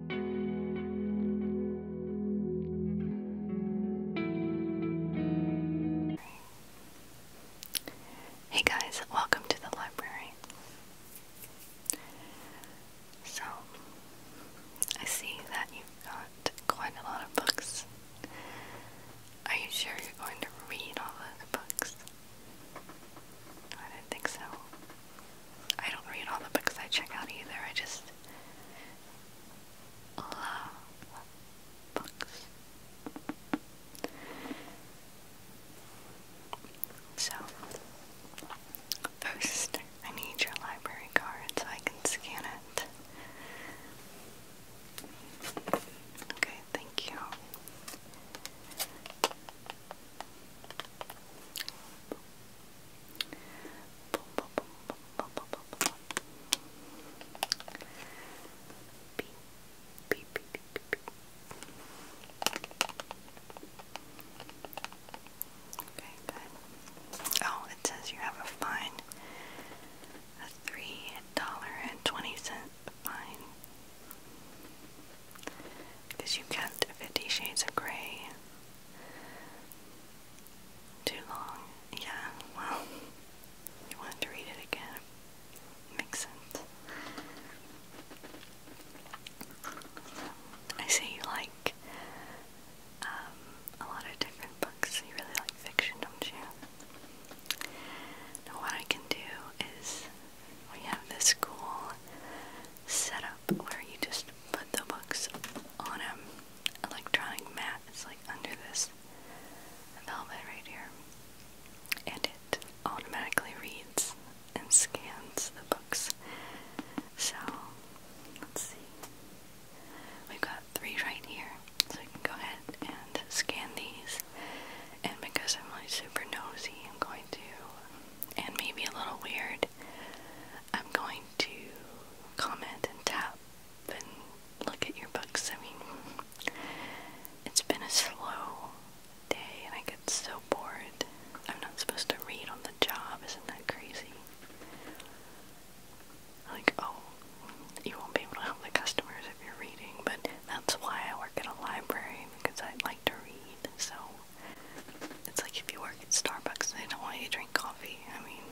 Hey guys, welcome to the library. So, I see that you've got quite a lot of books. Are you sure you're going to read all the books? I don't think so. I don't read all the books I check out either. I just love books. So, first, I need your library card so I can scan it. Okay, thank you. Okay, Oh, it says you have a fine, a three dollar and twenty cent fine, because you kept Fifty Shades of Grey too long. Yeah, well, you wanted to read it again. Makes sense. I see you like um, a lot of different books. You really like fiction, don't you? Now, what I can do is we have this cool Set up where you just put the books on an electronic mat. It's like under this velvet right here. And it automatically reads and scans the books. So, let's see. We've got three right here. So we can go ahead and scan these. And because I'm like super nosy, I'm going to, and maybe a little weird, I'm going to comment and tap and look at your books. I mean, it's been a slow day and I get so bored. I'm not supposed to read on the job, isn't that crazy? Like, oh, you won't be able to help the customers if you're reading, but that's why I work at a library because I like to read, so it's like if you work at Starbucks they don't want you to drink coffee. I mean,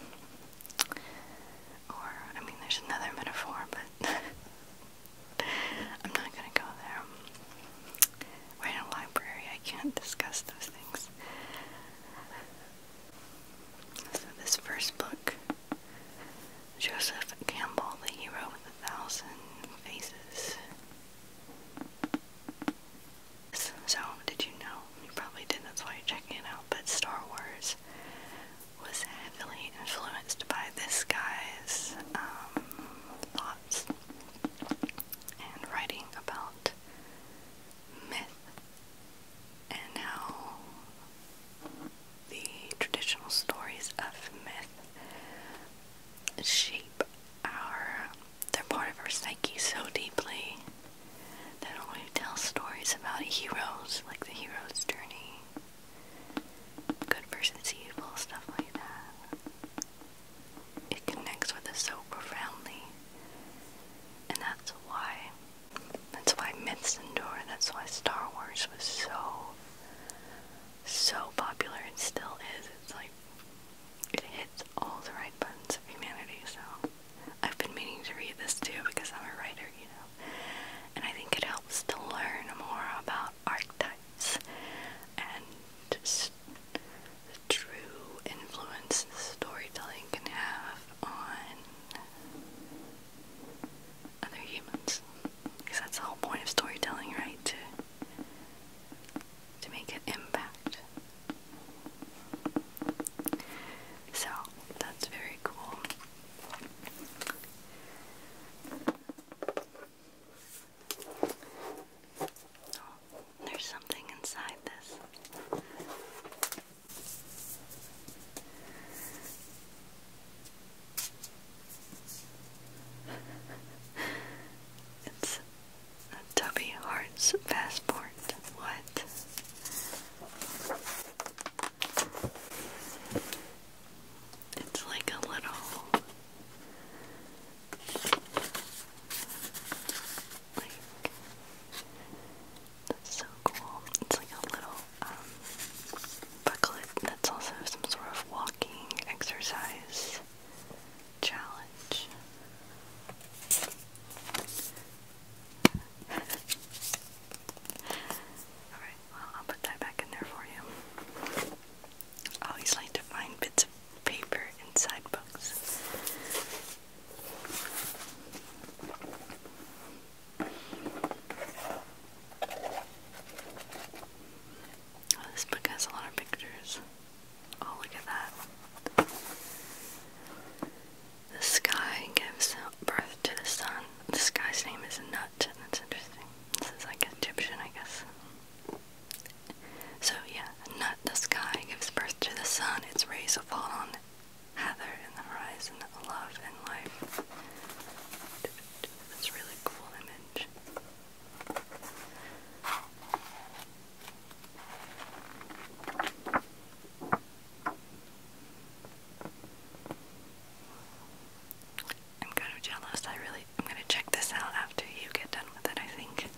or, I mean, there's another metaphor, but I'm not gonna go there. We're in a library, I can't discuss those things. So, this first book, Joseph Campbell, The Hero with a Thousand Faces. So, did you know? You probably did, not that's why you're checking it out. But Star Wars was heavily influenced by this guy's um, thoughts and writing about myth and how the traditional stories of myth shape our they're part of our psyche so deeply that when we tell stories about heroes, like the hero's journey, good versus evil, stuff like that, it connects with us so profoundly. And that's why that's why myths endure, and that's why Star Wars was so so popular and still is. It's like it hits all the right buttons of humanity, so I've been meaning to read this too because I'm a writer, you know. And I think it helps to learn more about archetypes and just the true influence storytelling can have on other humans. Because that's the whole point of storytelling, right? To to make an impact. So that's very cool. Oh, there's something inside this. it's a Tubby Hearts passport. What? It's like a little. Like, that's so cool. It's like a little um, booklet that's also some sort of walking exercise challenge. Alright, well, I'll put that back in there for you. always like to find bits of paper inside books. Oh, this book has a lot of pictures. Oh, look at that. The sky gives birth to the sun. The sky's name is Nut. That's interesting. This is like Egyptian, I guess. So, yeah, Nut, the sky, gives birth to the sun. Its rays fall on Heather in the horizon of love and life. That's really cool image. I'm kind of jealous. I really I'm gonna check this out after you get done with it, I think.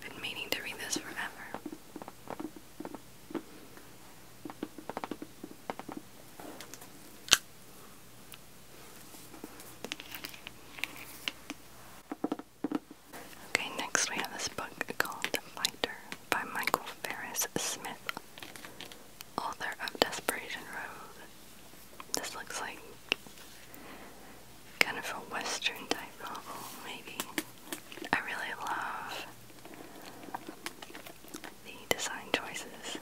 been meaning to read this forever. Okay, next we have this book called The Fighter by Michael Ferris Smith, author of Desperation Road. This looks like kind of a western type novel, maybe. I really love the design choices.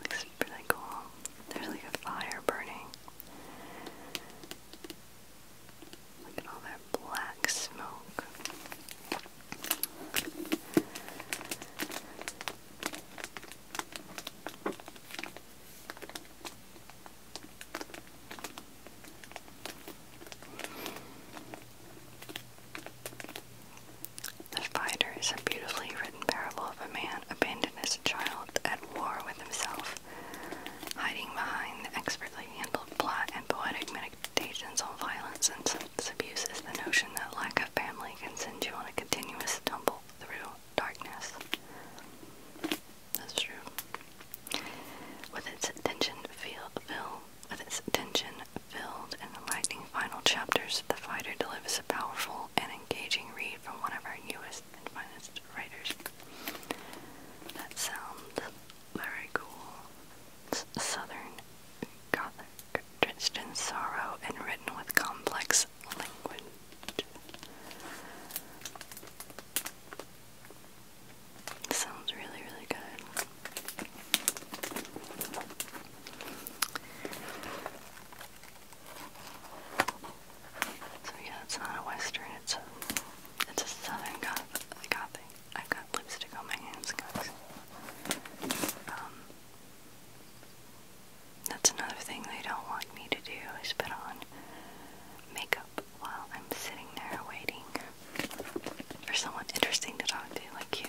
looks pretty cool. There's like a fire burning. Look at all that black smoke. The Fighter is a beautifully written parable of a man abandoned as a child at war with himself hiding behind the expertly handled plot and poetic meditations on violence and abuse is the notion that lack of family can send you on a continuous tumble through darkness. That's true. With its tension filled, with its tension filled in lightning final chapters, the fighter delivers a powerful and engaging read from one of our newest artists and finest writers. That sounds very cool. Southern Gothic, drenched in sorrow and written with complex language. Sounds really, really good. So yeah, it's not a western, it's a it's a southern gothic. I've got lipstick on my hands, Um that's another thing they don't want me to do is put on makeup while I'm sitting there waiting for someone interesting to talk to like you.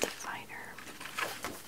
The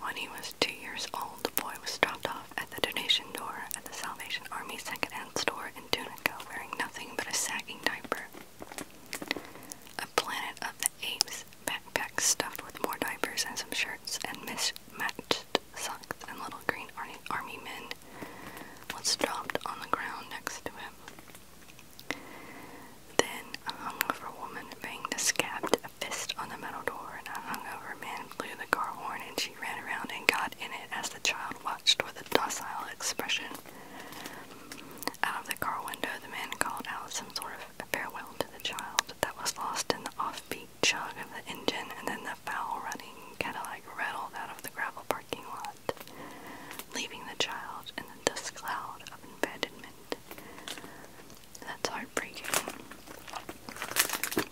When he was two years old, the boy was dropped off at the donation door at the Salvation Army secondhand store in Tunica wearing nothing but a sagging diaper. A Planet of the Apes backpack stuffed with more diapers and some shirts and mismatched socks and little green army men was dropped on the ground next to him. Then a hungover woman banged a scabbed a fist on the metal door, and a hungover man blew the car horn, and she ran around and got in it as the child watched with a docile expression. Out of the car window, the man called out some sort of farewell to the child that was lost in the offbeat chug of the engine, and then the foul-running Cadillac rattled out of the gravel parking lot, leaving the child in the dust cloud of abandonment. That's heartbreaking.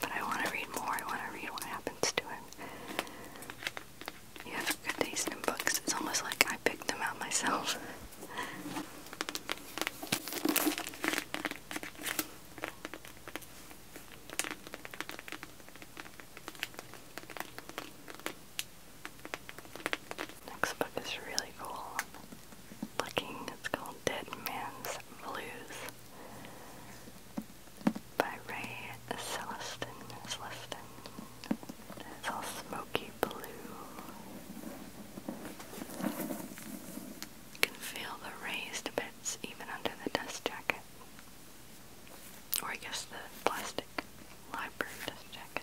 But I want to read more. I want to read what happens to him. You have a good taste in books. It's almost like I picked them out myself. Next book is really cool. Looking, it's called Dead Man's Blues by Ray Celestin. It's all smoky blue. You can feel the raised bits even under the dust jacket. Or I guess the plastic library dust jacket.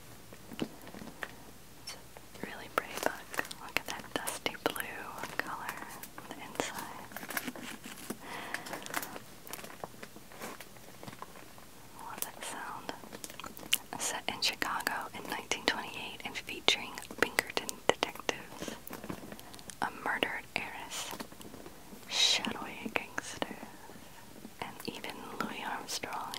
It's a really pretty book. Look at that dusty blue color on the inside. I that sound. Set in Chicago in 1928 and featuring Pinkerton detectives, a murdered heiress, shadowy gangster, and even Louis Armstrong.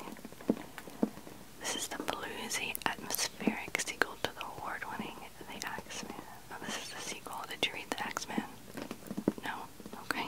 This is the bluesy, atmospheric sequel to the award-winning The Axeman. Oh, this is the sequel. Did you read The X-Men*? No? Okay.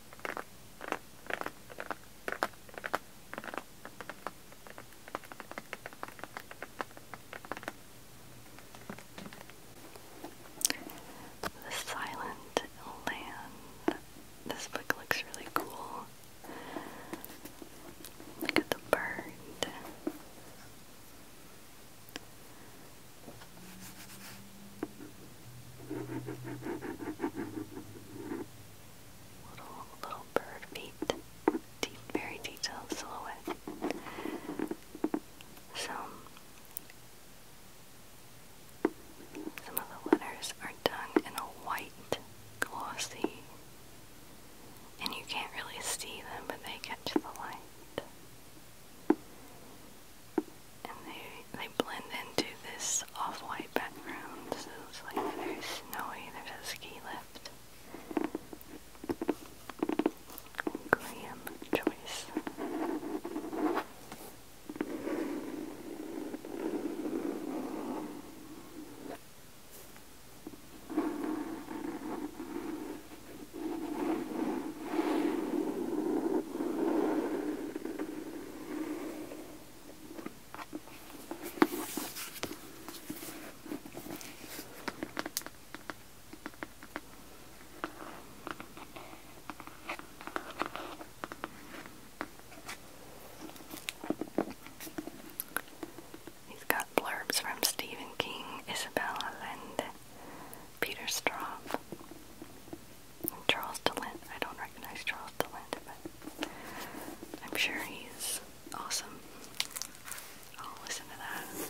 The Silent Land. This book looks really cool. Look at the bird. Little, little bird feet. Deep, very detailed silhouette. Some, some of the letters are done in a white glossy, and you can't really see them, but they catch the light and they they blend into this off-white background, so it's like very snowy. There's a ski lift. Graham choice. He's got blurbs from Stephen King, Isabel Allende, Peter Straub, Charles DeLint. I don't recognize Charles DeLint, but I'm sure he's awesome. I'll listen to that.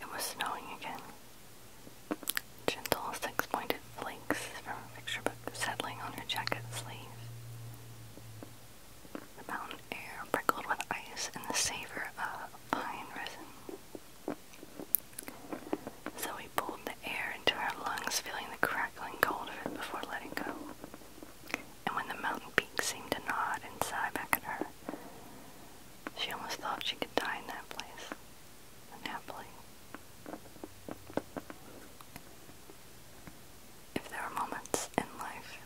It was snowing again. Gentle six pointed flakes from a picture book settling on her jacket sleeve. The mountain air prickled with ice and the savor of pine resin. Zoe pulled the air into her lungs, feeling the crackling cold of it before letting go and when the mountain peaks seemed to nod and sigh back at her, she almost thought she could die in that place, unhappily. If there are moments in life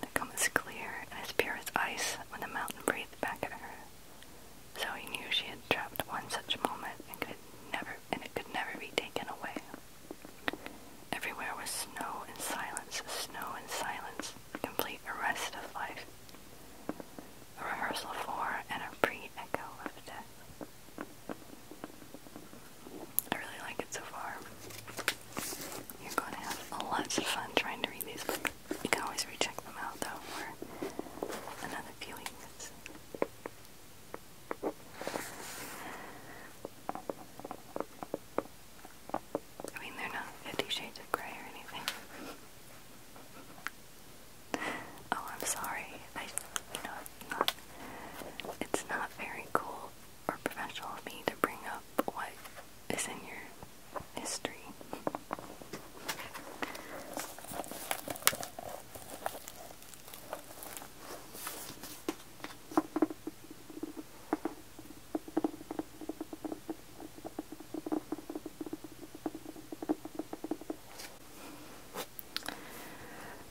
that come as clear as pure ice when the mountain breathed back at her, Zoe knew she had trapped one such moment and could never and it could never be taken away. Everywhere was snow and silence, snow and silence, complete arrest of life. A rehearsal for and a pre-echo of death. I really like it so far. You're going to have lots of fun trying to read these books. You can always recheck them out though for another few weeks. I mean, they're not Fifty Shades of Grey or anything. oh, I'm sorry. I, you know, it's not. It's not very cool or professional of me to bring up what is in your history.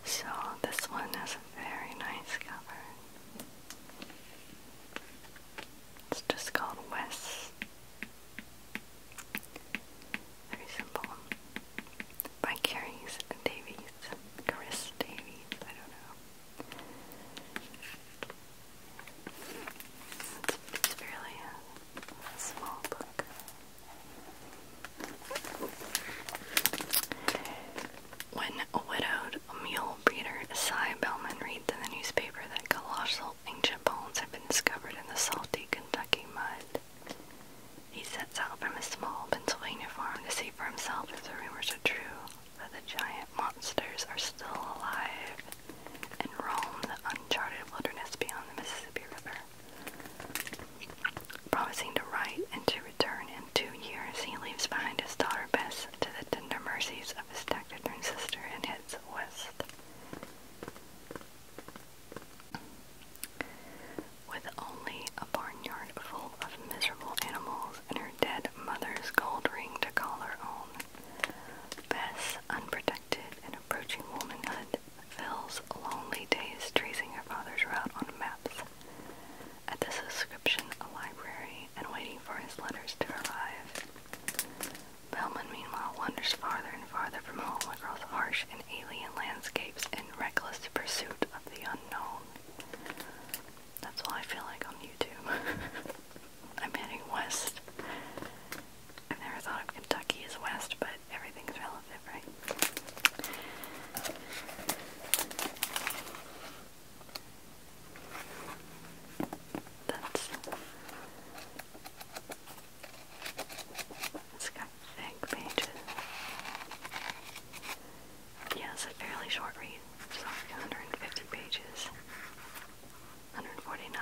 So, this one has a very nice cover. It's just called West. Very simple by Carries Davies. Chris Davies, I don't know. It's, fairly a uh, small book. When a widowed mule breeder, Cy Bellman, reads in the newspaper that colossal ancient bones have been discovered in the salty Kentucky mud, he says, out from his small Pennsylvania farm to see for himself if the rumors are true that the giant monsters are still alive and roam the uncharted wilderness beyond the Mississippi River. Promising to write and to return in two years, he leaves behind his daughter Bess to the tender mercies of his taciturn sister and heads west with only a barnyard full of miserable animals and her dead mother's gold ring to call her own. Bess, unprotected and approaching womanhood, fills lonely days tracing her father's route on maps. At the subscription library and waiting for his letters to arrive. Bellman, meanwhile, wanders farther and farther from home across harsh and alien landscapes in reckless pursuit of the unknown. That's all I feel like on YouTube. I'm heading west. I've never thought of Kentucky as west, but everything's relative, right? That's it's got thick pages yeah, it's a fairly short read. It's like 150 pages. 149.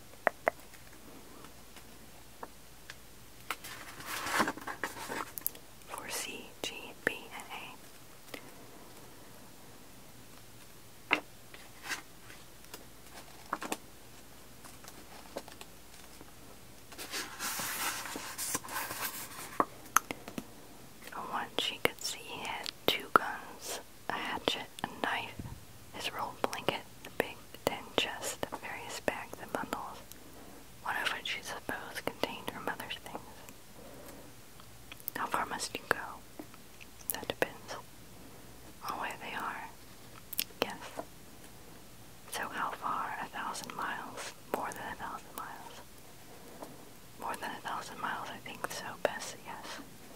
for C, G, B, and A. From she could see, he had two guns, a hatchet, a knife, his roll blanket, a big then just various bags and bundles, one of which she supposed contained her mother's things. How far must you go? That depends on where they are. Yes. So how far? A thousand miles. More than a thousand miles. More than a thousand miles, I think so, Bess, yes.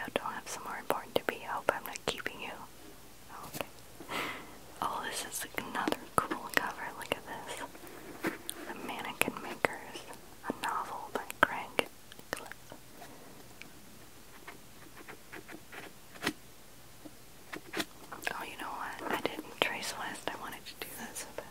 Hope don't have somewhere important to be. I hope I'm not keeping you. Oh, okay. Oh, this is another cool cover. Look at this. The mannequin makers a novel by Craig Oh, you know what? I didn't trace list. I wanted to do that so bad.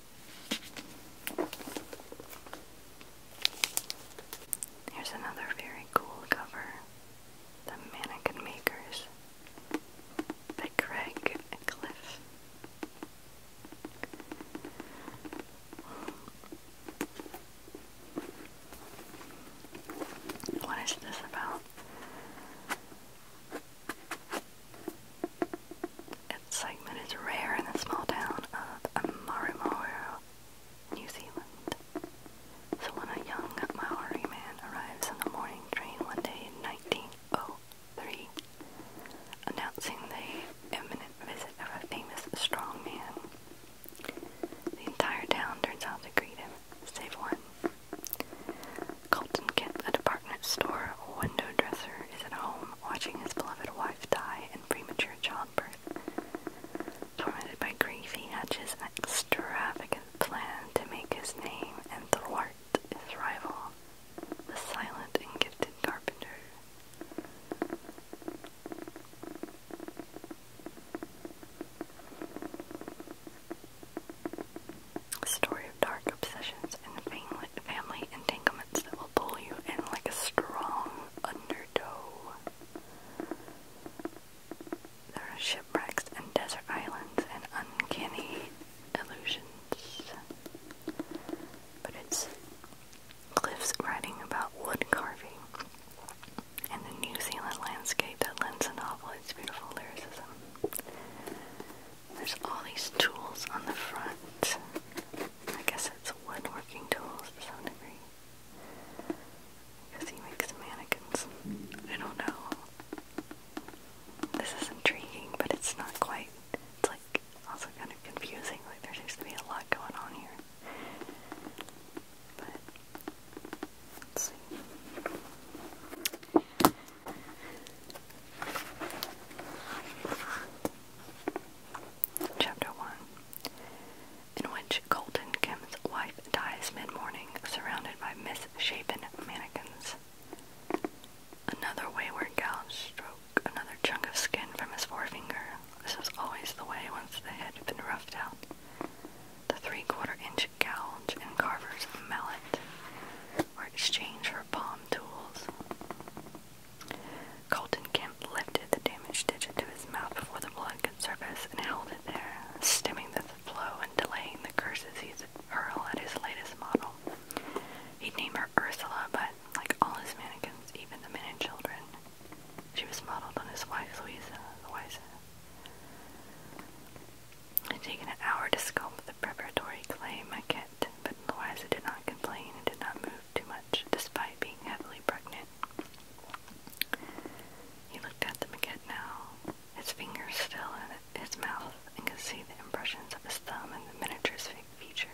Here's another very cool cover The Mannequin Makers by Craig Cliff. What is this about? Its segment is rare in the small town of Amarimaru, New Zealand. So when a young Maori man arrives on the morning train one day in 1903, announcing the imminent visit of a famous strong man, the entire town turns out to greet him, save one. Colton Kent, a department department store window dresser is at home watching his beloved wife die in premature childbirth. Tormented by grief, he hatches an extravagant plan to make his name and thwart his rival, the silent and gifted carpenter. story dark obsessions and family, family entanglements that will pull you in like a strong undertow. There are shipwrecks and desert islands and uncanny illusions. But it's cliffs writing about wood carving and the New Zealand landscape that lends a novel its beautiful lyricism. There's all these tools on the front. I guess it's woodworking tools to some degree. Because he makes mannequins. I don't know. This is intriguing, but it's not quite. It's like also kind of confusing. Like there seems to be a lot going on here. But let's see. Chapter 1 In which Colton Kim's wife dies mid morning, surrounded by misshapen mannequins. Another wayward gal stroked another chunk of skin from his forefinger. This was always the way once the had been roughed out. The three quarter inch gouge and carver's mallet were exchanged for palm tools. Colton Kemp lifted the damaged digit to his mouth before the blood could surface and held it there, stemming the flow and delaying the curses he'd at his latest model. He'd name her Ursula, but like all his mannequins, even the men and children, she was modeled on his wife Louisa. Louisa. It'd taken an hour to sculpt the preparatory clay maquette it, but Louisa did not complain and did not move too much, despite being heavily pregnant. He looked at the maquette now, his fingers still in his mouth, and could see the impressions of his thumb and the miniature's features.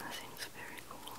That seems very cool.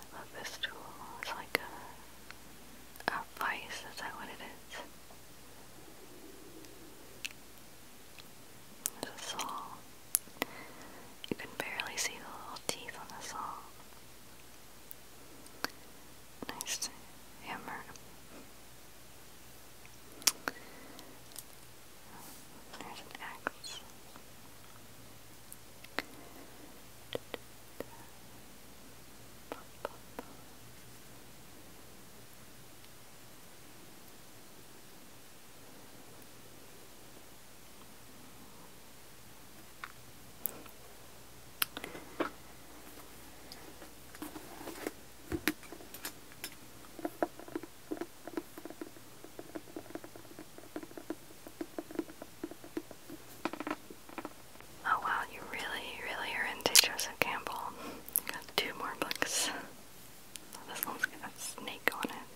I love this tool. It's like a, vice, is that what it is? saw. You can barely see the little teeth on the saw. Nice hammer. There's an X. Oh wow, you really, really are into Joseph Campbell. You got two more books. This one's got a snake on it.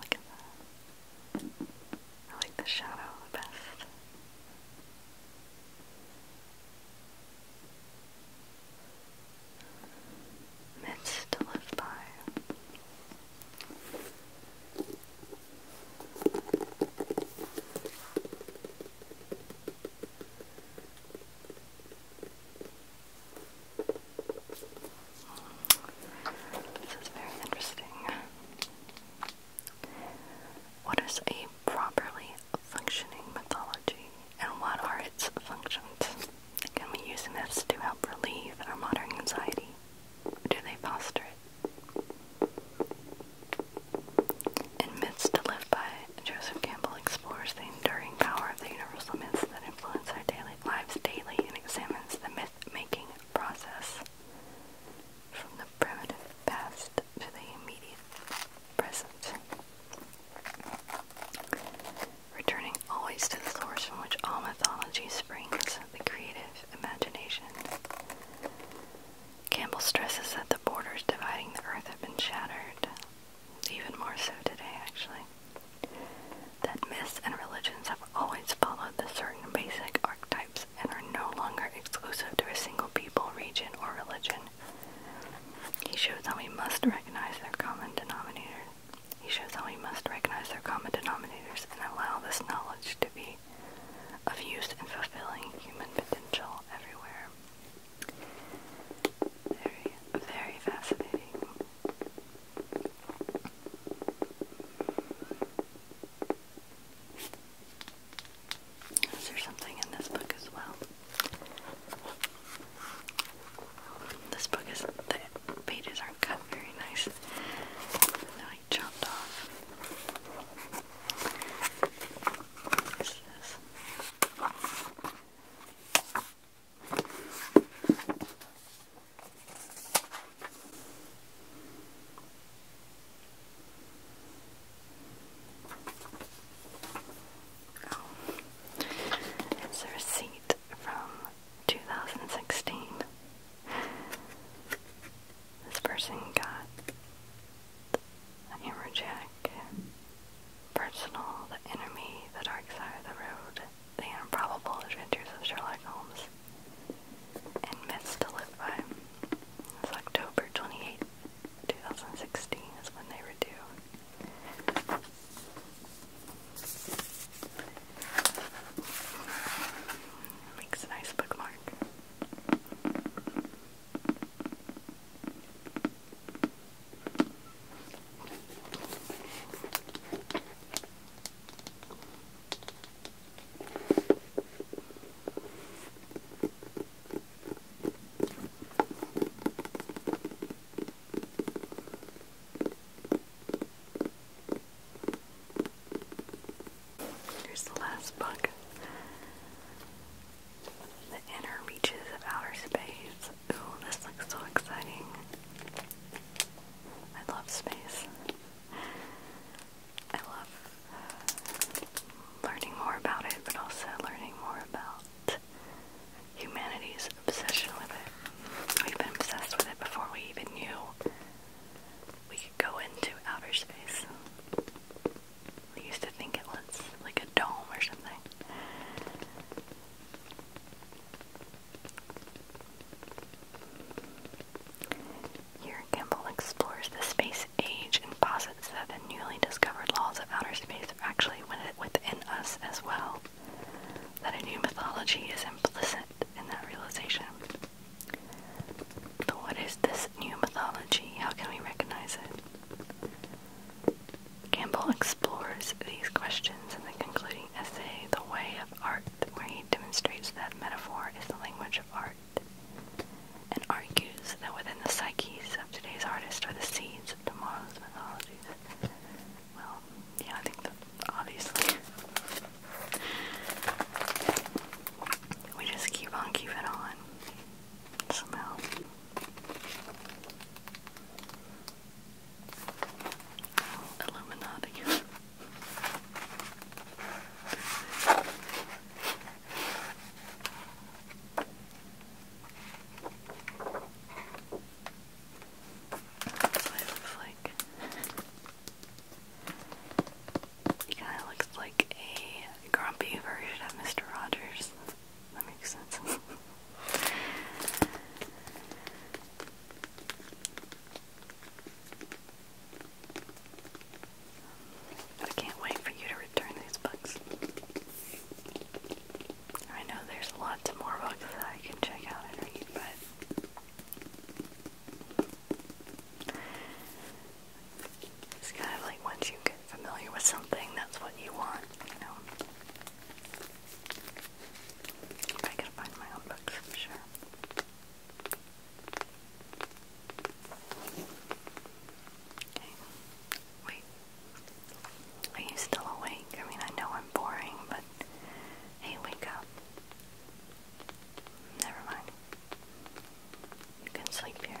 Look at that. I like the shadow the best myths to live by. This is very interesting. What is a properly functioning mythology? and what are its functions? Can we use myths to help relieve our modern anxiety? Do they foster it? In Myths to Live By, Joseph Campbell explores the enduring power of the universal myths that influence our daily lives daily and examines the myth-making process from the primitive past to the immediate present. Returning always to the source from which all mythology springs, the creative imagination. Campbell stresses that the borders dividing the earth have been shattered, even more so today, actually. That myths and religions have always followed the certain basic archetypes and are no longer exclusive to a single people, region, or religion. He shows how we must recognize their common denominators. He shows how we must recognize their common denominators and allow this knowledge to be of use in fulfilling human potential everywhere. Very, very fascinating. Is there something in this book as well? This book is that. pages aren't cut very nice. They're like off. What is this? it's a receipt from 2016. This person got a hammerjack, personal, the enemy, the dark side of the road, the improbable adventures of Sherlock Holmes, and myths to live by. It's October 28th, 2016 is when they were due. Makes a nice bookmark. Here's the last book. The Inner Reaches of Outer Space. Ooh, this looks so exciting. I love space. I love learning more about it, but also learning more about humanity's obsession with it. We've been obsessed with it before we even knew we could go into outer space. We used to think it was like a dome or something. Here, Campbell explores the space age and posits that the newly discovered laws of outer space are actually actually within us as well, that a new mythology is implicit in that realization. But what is this new mythology? How can we recognize it? Campbell explores these questions in the concluding essay, The Way of Art, where he demonstrates that metaphor is the language of art, and argues that within the psyches of today's artists are the seeds of tomorrow's mythologies. Well, yeah, I think that obviously we just keep on keeping on somehow. Illuminati he kind of looks like a grumpy version of Mr. Rogers. That makes sense. I can't wait for you to return these books. I know there's lots more books that I can check out and read, but it's kind of like once you get familiar with something, that's what you want, you know. I can find my own books for sure. Okay. Wait, are you still awake? I mean, I know I'm boring, but hey, wake up. Never mind. You can sleep here.